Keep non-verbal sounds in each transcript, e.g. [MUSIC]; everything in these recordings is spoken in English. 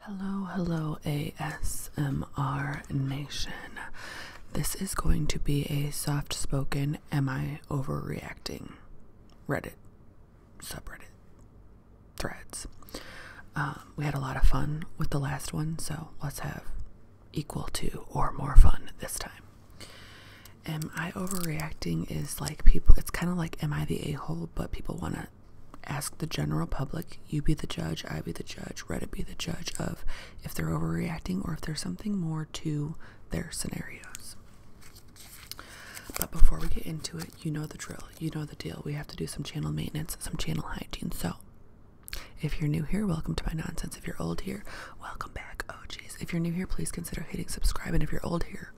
Hello, hello, ASMR Nation. This is going to be a soft spoken, am I overreacting? Reddit, subreddit, threads. Um, we had a lot of fun with the last one, so let's have equal to or more fun this time am I overreacting is like people it's kind of like am I the a-hole but people want to ask the general public you be the judge I be the judge Reddit be the judge of if they're overreacting or if there's something more to their scenarios but before we get into it you know the drill you know the deal we have to do some channel maintenance some channel hygiene so if you're new here, welcome to my nonsense. If you're old here, welcome back. Oh, geez. If you're new here, please consider hitting subscribe. And if you're old here,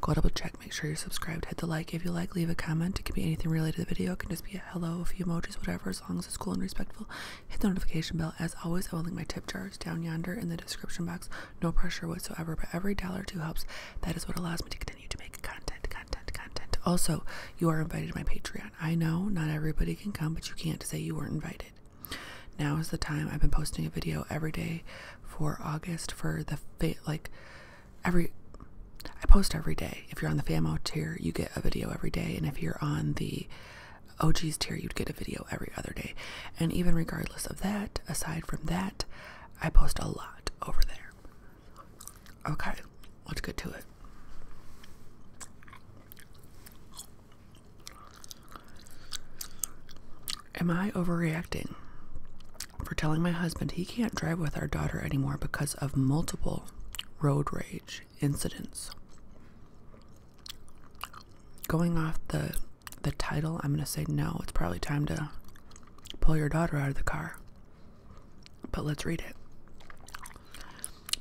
Go double check, make sure you're subscribed, hit the like if you like, leave a comment. It can be anything related to the video, it can just be a hello, a few emojis, whatever, as long as it's cool and respectful. Hit the notification bell. As always, I will link my tip jars down yonder in the description box. No pressure whatsoever, but every dollar two helps. That is what allows me to continue to make content, content, content. Also, you are invited to my Patreon. I know not everybody can come, but you can't say you weren't invited. Now is the time I've been posting a video every day for August for the fa like every I post every day. If you're on the FAMO tier, you get a video every day, and if you're on the OG's tier, you'd get a video every other day. And even regardless of that, aside from that, I post a lot over there. Okay, let's get to it. Am I overreacting for telling my husband he can't drive with our daughter anymore because of multiple road rage incidents? Going off the the title, I'm going to say no. It's probably time to pull your daughter out of the car. But let's read it.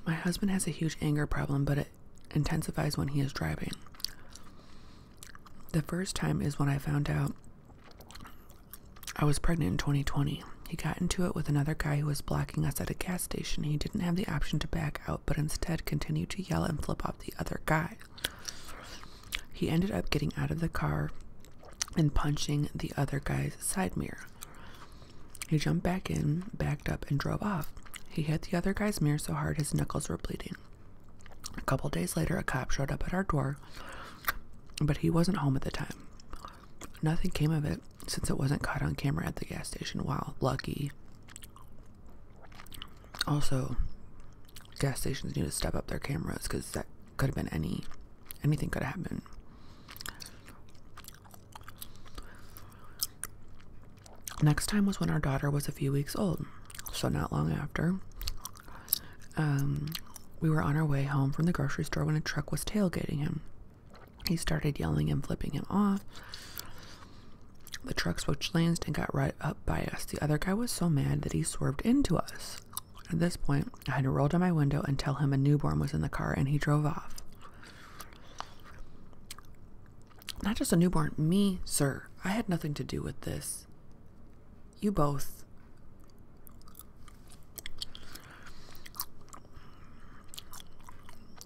My husband has a huge anger problem, but it intensifies when he is driving. The first time is when I found out I was pregnant in 2020. He got into it with another guy who was blocking us at a gas station. He didn't have the option to back out, but instead continued to yell and flip off the other guy. He ended up getting out of the car and punching the other guy's side mirror. He jumped back in, backed up, and drove off. He hit the other guy's mirror so hard his knuckles were bleeding. A couple days later, a cop showed up at our door, but he wasn't home at the time. Nothing came of it since it wasn't caught on camera at the gas station. Wow, lucky. Also, gas stations need to step up their cameras because that could have been any, anything could have happened. Next time was when our daughter was a few weeks old, so not long after. Um, we were on our way home from the grocery store when a truck was tailgating him. He started yelling and flipping him off. The truck switched lanes and got right up by us. The other guy was so mad that he swerved into us. At this point, I had to roll down my window and tell him a newborn was in the car and he drove off. Not just a newborn, me, sir. I had nothing to do with this. You both.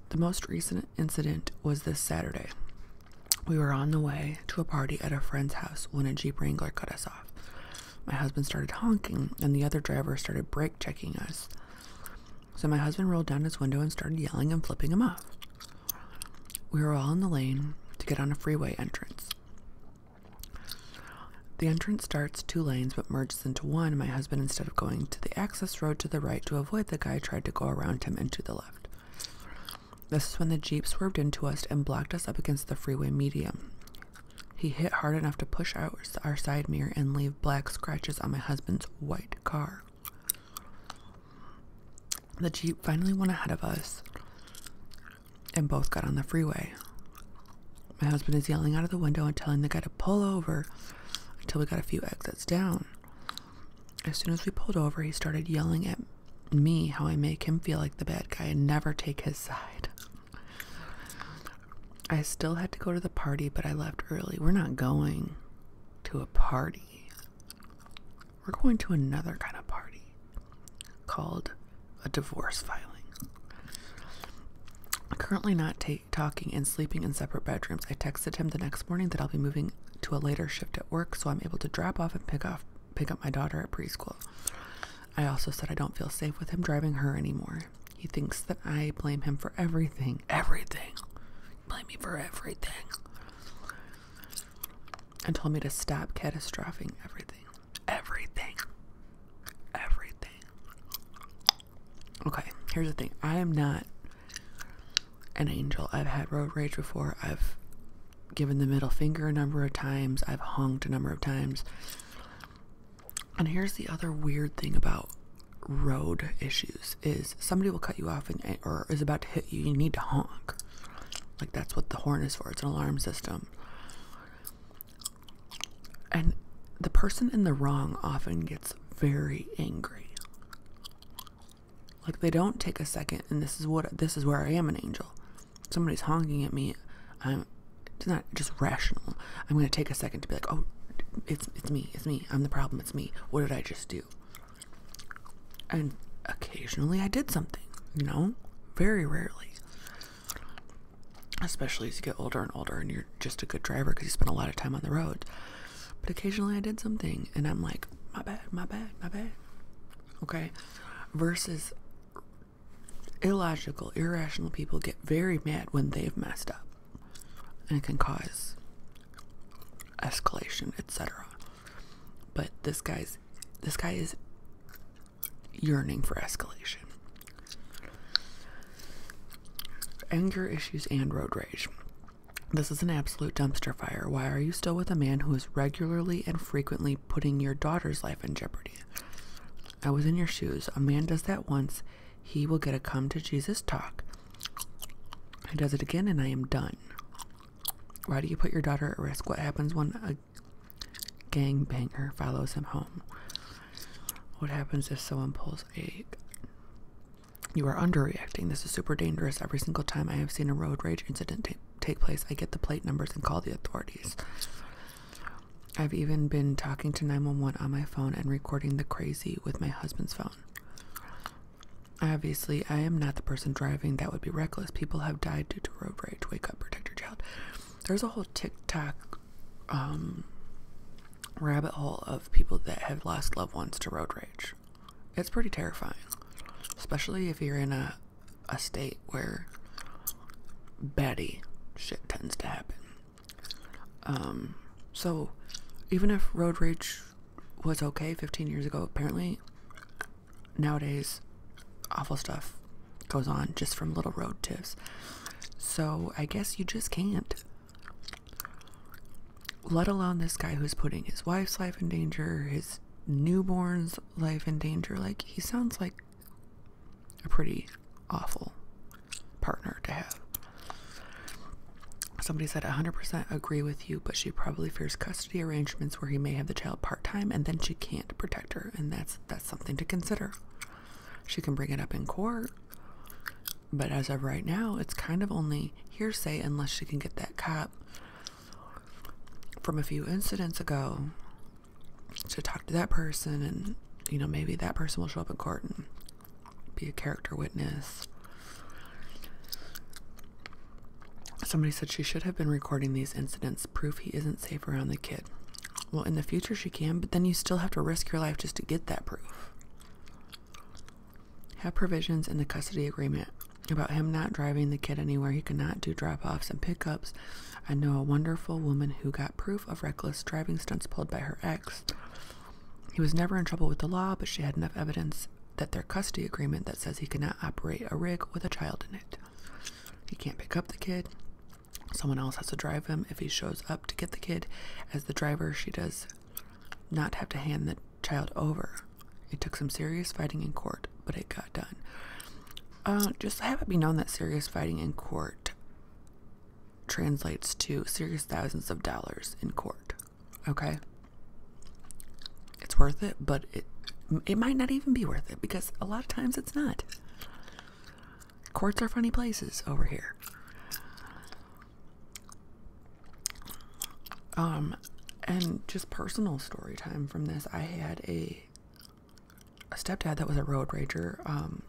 The most recent incident was this Saturday. We were on the way to a party at a friend's house when a Jeep Wrangler cut us off. My husband started honking, and the other driver started brake checking us. So my husband rolled down his window and started yelling and flipping him off. We were all in the lane to get on a freeway entrance. The entrance starts two lanes but merges into one. My husband, instead of going to the access road to the right to avoid the guy, tried to go around him and to the left. This is when the Jeep swerved into us and blocked us up against the freeway median. He hit hard enough to push out our side mirror and leave black scratches on my husband's white car. The Jeep finally went ahead of us and both got on the freeway. My husband is yelling out of the window and telling the guy to pull over until we got a few exits down. As soon as we pulled over, he started yelling at me how I make him feel like the bad guy and never take his side. I still had to go to the party, but I left early. We're not going to a party. We're going to another kind of party called a divorce filing. Currently not talking and sleeping in separate bedrooms. I texted him the next morning that I'll be moving to a later shift at work so I'm able to drop off and pick off pick up my daughter at preschool. I also said I don't feel safe with him driving her anymore. He thinks that I blame him for everything. Everything. Blame me for everything and told me to stop catastrophing everything. Everything. Everything. Okay, here's the thing. I am not an angel. I've had road rage before. I've given the middle finger a number of times. I've honked a number of times. And here's the other weird thing about road issues is somebody will cut you off and or is about to hit you. You need to honk. Like that's what the horn is for. It's an alarm system. And the person in the wrong often gets very angry. Like they don't take a second and this is what this is where I am an angel. Somebody's honking at me. I'm it's not just rational. I'm going to take a second to be like, "Oh, it's it's me. It's me. I'm the problem. It's me. What did I just do?" And occasionally I did something, you know? Very rarely. Especially as you get older and older and you're just a good driver because you spend a lot of time on the road. But occasionally I did something and I'm like, my bad, my bad, my bad. Okay? Versus illogical, irrational people get very mad when they've messed up. And it can cause escalation, etc. But this guy's this guy is yearning for escalation. Anger issues and road rage. This is an absolute dumpster fire. Why are you still with a man who is regularly and frequently putting your daughter's life in jeopardy? I was in your shoes. A man does that once, he will get a come to Jesus talk. He does it again, and I am done. Why do you put your daughter at risk? What happens when a gangbanger follows him home? What happens if someone pulls a. You are underreacting. This is super dangerous. Every single time I have seen a road rage incident take place, I get the plate numbers and call the authorities. I've even been talking to 911 on my phone and recording the crazy with my husband's phone. Obviously, I am not the person driving. That would be reckless. People have died due to road rage. Wake up, protect your child. There's a whole tick-tock um, rabbit hole of people that have lost loved ones to road rage. It's pretty terrifying, especially if you're in a, a state where batty shit tends to happen. Um, so even if road rage was okay 15 years ago, apparently nowadays, awful stuff goes on just from little road tiffs. So I guess you just can't. Let alone this guy who's putting his wife's life in danger, his newborn's life in danger. Like, he sounds like a pretty awful partner to have. Somebody said 100% agree with you, but she probably fears custody arrangements where he may have the child part time and then she can't protect her, and that's that's something to consider. She can bring it up in court. But as of right now, it's kind of only hearsay unless she can get that cop from a few incidents ago to talk to that person and you know maybe that person will show up in court and be a character witness Somebody said she should have been recording these incidents, proof he isn't safe around the kid. Well, in the future she can, but then you still have to risk your life just to get that proof. Have provisions in the custody agreement about him not driving the kid anywhere. He cannot do drop offs and pickups. I know a wonderful woman who got proof of reckless driving stunts pulled by her ex. He was never in trouble with the law, but she had enough evidence that their custody agreement that says he cannot operate a rig with a child in it. He can't pick up the kid. Someone else has to drive him. If he shows up to get the kid as the driver, she does not have to hand the child over. It took some serious fighting in court, but it got done. Uh, just have it be known that serious fighting in court translates to serious thousands of dollars in court. Okay. It's worth it, but it it might not even be worth it because a lot of times it's not. Courts are funny places over here. Um and just personal story time from this. I had a a stepdad that was a road rager. Um,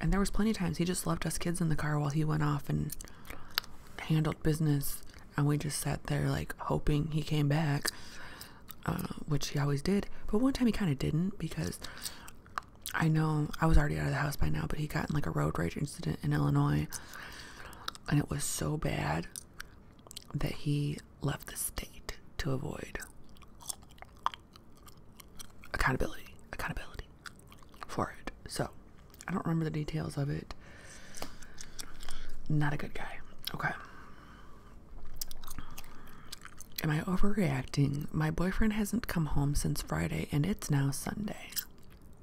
and there was plenty of times he just left us kids in the car while he went off and handled business and we just sat there like hoping he came back uh, which he always did but one time he kind of didn't because i know i was already out of the house by now but he got in like a road rage incident in illinois and it was so bad that he left the state to avoid accountability accountability for it so I don't remember the details of it. Not a good guy. Okay. Am I overreacting? My boyfriend hasn't come home since Friday and it's now Sunday.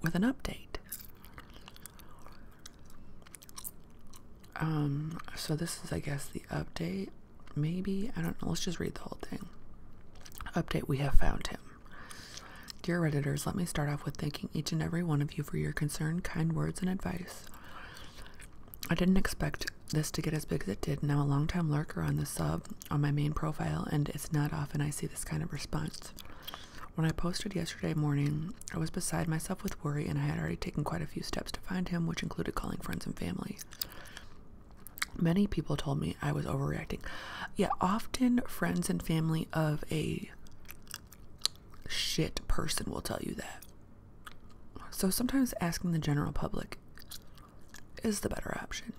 With an update. Um, so this is, I guess, the update. Maybe? I don't know. Let's just read the whole thing. Update We have found him. Dear Redditors, let me start off with thanking each and every one of you for your concern, kind words, and advice. I didn't expect this to get as big as it did, and I'm a longtime lurker on the sub on my main profile, and it's not often I see this kind of response. When I posted yesterday morning, I was beside myself with worry, and I had already taken quite a few steps to find him, which included calling friends and family. Many people told me I was overreacting. Yeah, often friends and family of a shit person will tell you that. So sometimes asking the general public is the better option.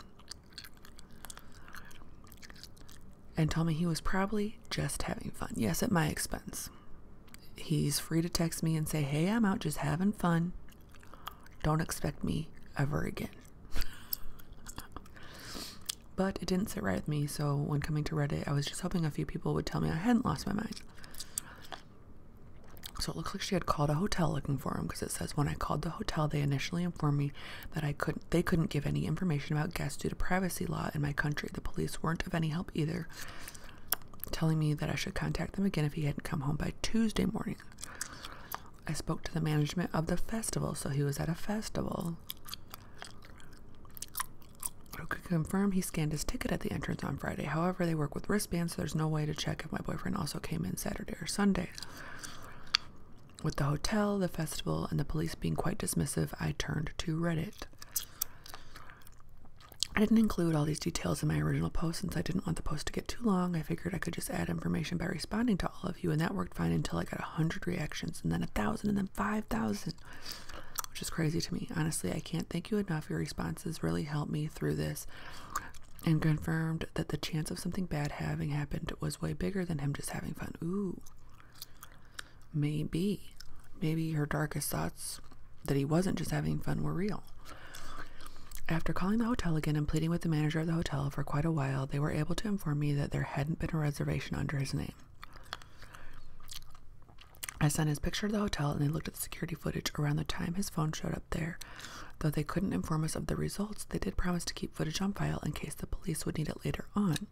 And told me he was probably just having fun. Yes, at my expense. He's free to text me and say, hey, I'm out just having fun. Don't expect me ever again. [LAUGHS] But it didn't sit right with me, so when coming to Reddit, I was just hoping a few people would tell me I hadn't lost my mind. So it looks like she had called a hotel looking for him because it says when I called the hotel, they initially informed me that I couldn't they couldn't give any information about guests due to privacy law in my country. The police weren't of any help either, telling me that I should contact them again if he hadn't come home by Tuesday morning. I spoke to the management of the festival, so he was at a festival could confirm he scanned his ticket at the entrance on Friday. However, they work with wristbands, so there's no way to check if my boyfriend also came in Saturday or Sunday. With the hotel, the festival, and the police being quite dismissive, I turned to Reddit. I didn't include all these details in my original post since I didn't want the post to get too long. I figured I could just add information by responding to all of you, and that worked fine until I got 100 reactions, and then 1,000, and then 5,000 which is crazy to me. Honestly, I can't thank you enough. Your responses really helped me through this and confirmed that the chance of something bad having happened was way bigger than him just having fun. Ooh. Maybe. Maybe her darkest thoughts that he wasn't just having fun were real. After calling the hotel again and pleading with the manager of the hotel for quite a while, they were able to inform me that there hadn't been a reservation under his name. I sent his picture to the hotel and they looked at the security footage around the time his phone showed up there. Though they couldn't inform us of the results, they did promise to keep footage on file in case the police would need it later on.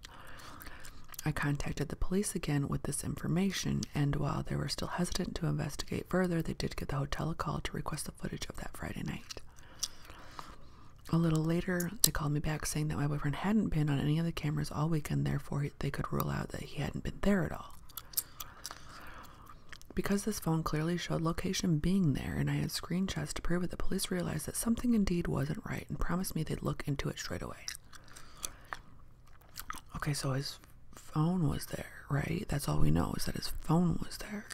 I contacted the police again with this information, and while they were still hesitant to investigate further, they did give the hotel a call to request the footage of that Friday night. A little later, they called me back saying that my boyfriend hadn't been on any of the cameras all weekend, therefore, they could rule out that he hadn't been there at all. Because this phone clearly showed location being there and I had screen shots to prove it, the police realized that something indeed wasn't right and promised me they'd look into it straight away. Okay, so his phone was there, right? That's all we know is that his phone was there.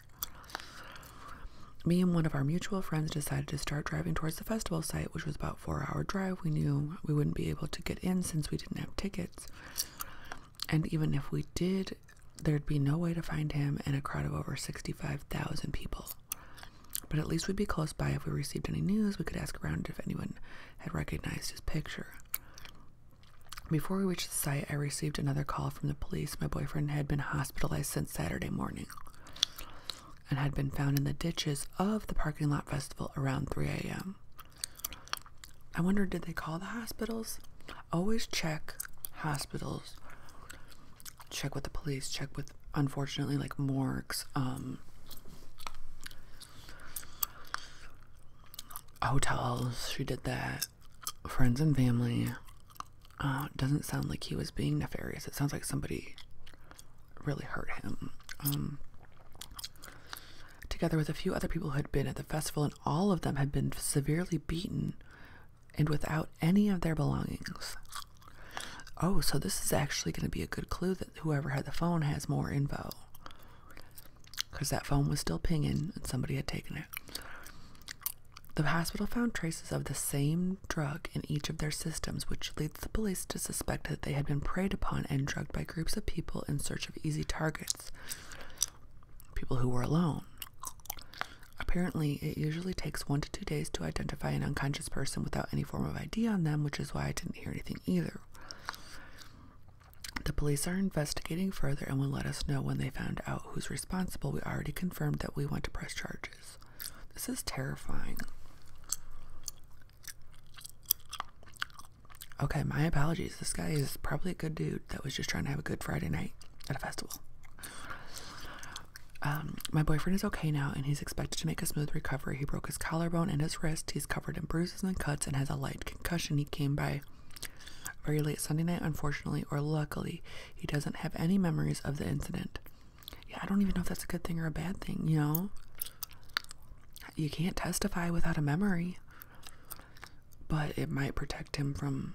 Me and one of our mutual friends decided to start driving towards the festival site, which was about four hour drive. We knew we wouldn't be able to get in since we didn't have tickets. And even if we did, there'd be no way to find him in a crowd of over 65,000 people. But at least we'd be close by if we received any news. We could ask around if anyone had recognized his picture. Before we reached the site, I received another call from the police. My boyfriend had been hospitalized since Saturday morning and had been found in the ditches of the parking lot festival around 3 a.m. I wonder, did they call the hospitals? Always check hospitals, check with the police, check with, unfortunately, like morgues, um, hotels. She did that. Friends and family. Uh, doesn't sound like he was being nefarious. It sounds like somebody really hurt him. Um, together with a few other people who had been at the festival, and all of them had been severely beaten and without any of their belongings. Oh, so this is actually going to be a good clue that whoever had the phone has more info. Because that phone was still pinging and somebody had taken it. The hospital found traces of the same drug in each of their systems, which leads the police to suspect that they had been preyed upon and drugged by groups of people in search of easy targets. People who were alone. Apparently, it usually takes one to two days to identify an unconscious person without any form of ID on them, which is why I didn't hear anything either. The police are investigating further and will let us know when they found out who's responsible. We already confirmed that we want to press charges. This is terrifying. Okay, my apologies. This guy is probably a good dude that was just trying to have a good Friday night at a festival. Um, my boyfriend is okay now and he's expected to make a smooth recovery. He broke his collarbone and his wrist. He's covered in bruises and cuts and has a light concussion. He came by very late Sunday night, unfortunately, or luckily, he doesn't have any memories of the incident yeah, I don't even know if that's a good thing or a bad thing, you know? You can't testify without a memory, but it might protect him from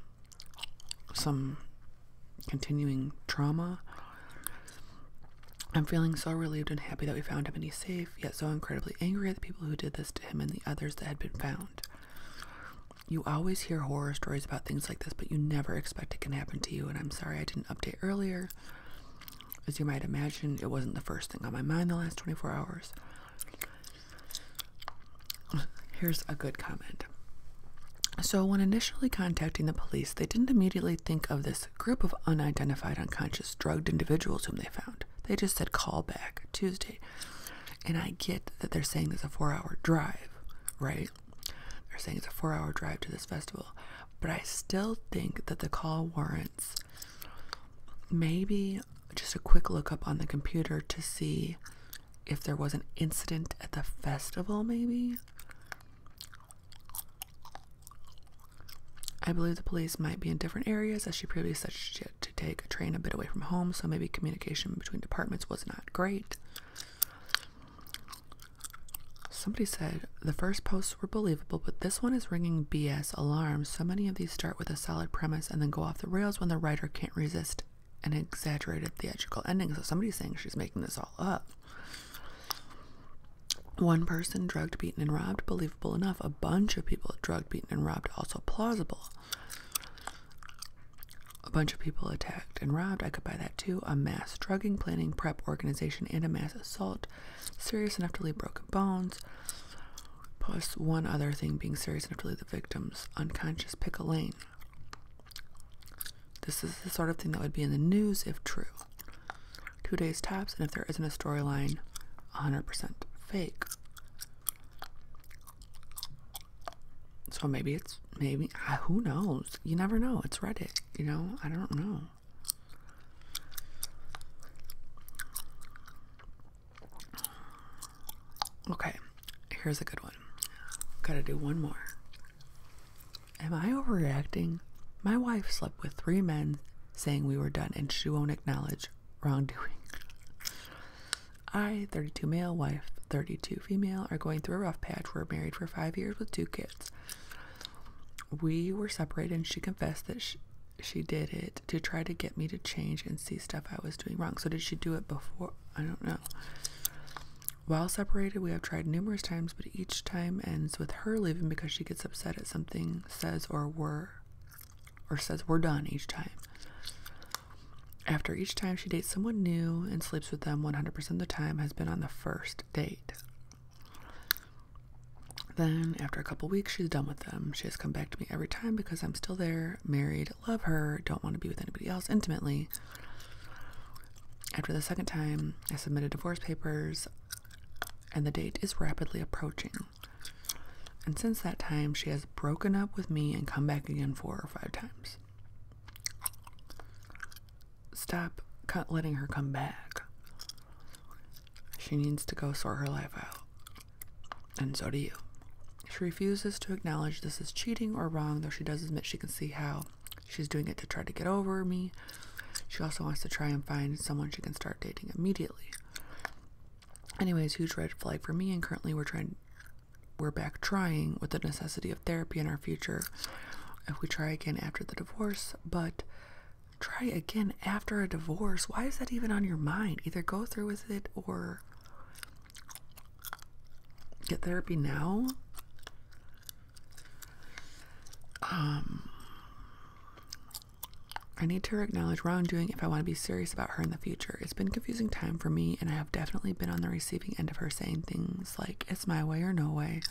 some continuing trauma. I'm feeling so relieved and happy that we found him and he's safe, yet so incredibly angry at the people who did this to him and the others that had been found. You always hear horror stories about things like this, but you never expect it can happen to you, and I'm sorry I didn't update earlier. As you might imagine, it wasn't the first thing on my mind the last 24 hours. Here's a good comment. So, when initially contacting the police, they didn't immediately think of this group of unidentified unconscious drugged individuals whom they found. They just said call back Tuesday. And I get that they're saying there's a four hour drive, right? They're saying it's a four hour drive to this festival, but I still think that the call warrants maybe just a quick look up on the computer to see if there was an incident at the festival, maybe. I believe the police might be in different areas as she previously said to take a train a bit away from home, so maybe communication between departments was not great. Somebody said the first posts were believable, but this one is ringing BS alarms. So many of these start with a solid premise and then go off the rails when the writer can't resist an exaggerated theatrical ending. So somebody's saying she's making this all up. One person drugged, beaten, and robbed, believable enough. A bunch of people drugged, beaten, and robbed, also plausible. A bunch of people attacked and robbed. I could buy that too. A mass drugging, planning, prep, organization, and a mass assault. Serious enough to leave broken bones. Plus one other thing being serious enough to leave the victims unconscious. Pick a lane. This is the sort of thing that would be in the news if true. Two days tops, and if there isn't a storyline, 100% fake. So maybe it's maybe ah, who knows? You never know. It's Reddit, you know? I don't know. Okay, here's a good one. Gotta do one more. Am I overreacting? My wife slept with three men saying we were done and she won't acknowledge wrongdoing. [LAUGHS] I, 32 male, wife, 32 female, are going through a rough patch. We're married for five years with two kids we were separated and she confessed that she, she did it to try to get me to change and see stuff I was doing wrong. So did she do it before? I don't know. While separated, we have tried numerous times, but each time ends with her leaving because she gets upset at something says or were or says we're done each time. After each time she dates someone new and sleeps with them 100% of the time has been on the first date. Then, after a couple weeks, she's done with them. She has come back to me every time because I'm still there, married, love her, don't want to be with anybody else intimately. After the second time, I submitted divorce papers, and the date is rapidly approaching. And since that time, she has broken up with me and come back again four or five times stop letting her come back. She needs to go sort her life out. And so do you. She refuses to acknowledge this is cheating or wrong, though she does admit she can see how she's doing it to try to get over me. She also wants to try and find someone she can start dating immediately. Anyways, huge red flag for me, and currently we're trying, we're back trying with the necessity of therapy in our future if we try again after the divorce, but try again after a divorce. Why is that even on your mind? Either go through with it or get therapy now. Um, I need to acknowledge wrongdoing if I want to be serious about her in the future. It's been confusing time for me, and I have definitely been on the receiving end of her saying things like, it's my way or no way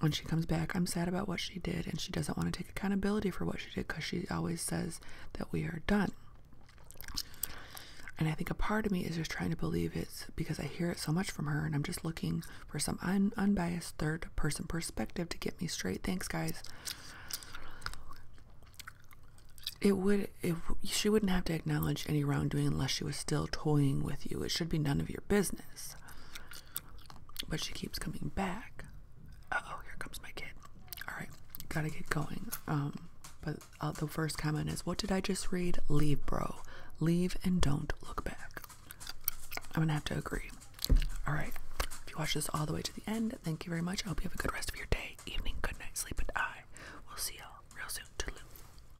when she comes back, I'm sad about what she did, and she doesn't want to take accountability for what she did because she always says that we are done. And I think a part of me is just trying to believe it's because I hear it so much from her, and I'm just looking for some unbiased third person perspective to get me straight. Thanks, guys. It would, if she wouldn't have to acknowledge any wrongdoing unless she was still toying with you. It should be none of you your business. But she keeps coming back. oh, here comes my kid. All right, gotta get going. Um, but uh, the first comment is, "What did I just read? Leave, bro. Leave and don't look back." I'm gonna have to agree. All right. If you watch this all the way to the end, thank you very much. I hope you have a good rest of your day, evening, good night, sleep, and I will see y'all real soon. Toodaloo.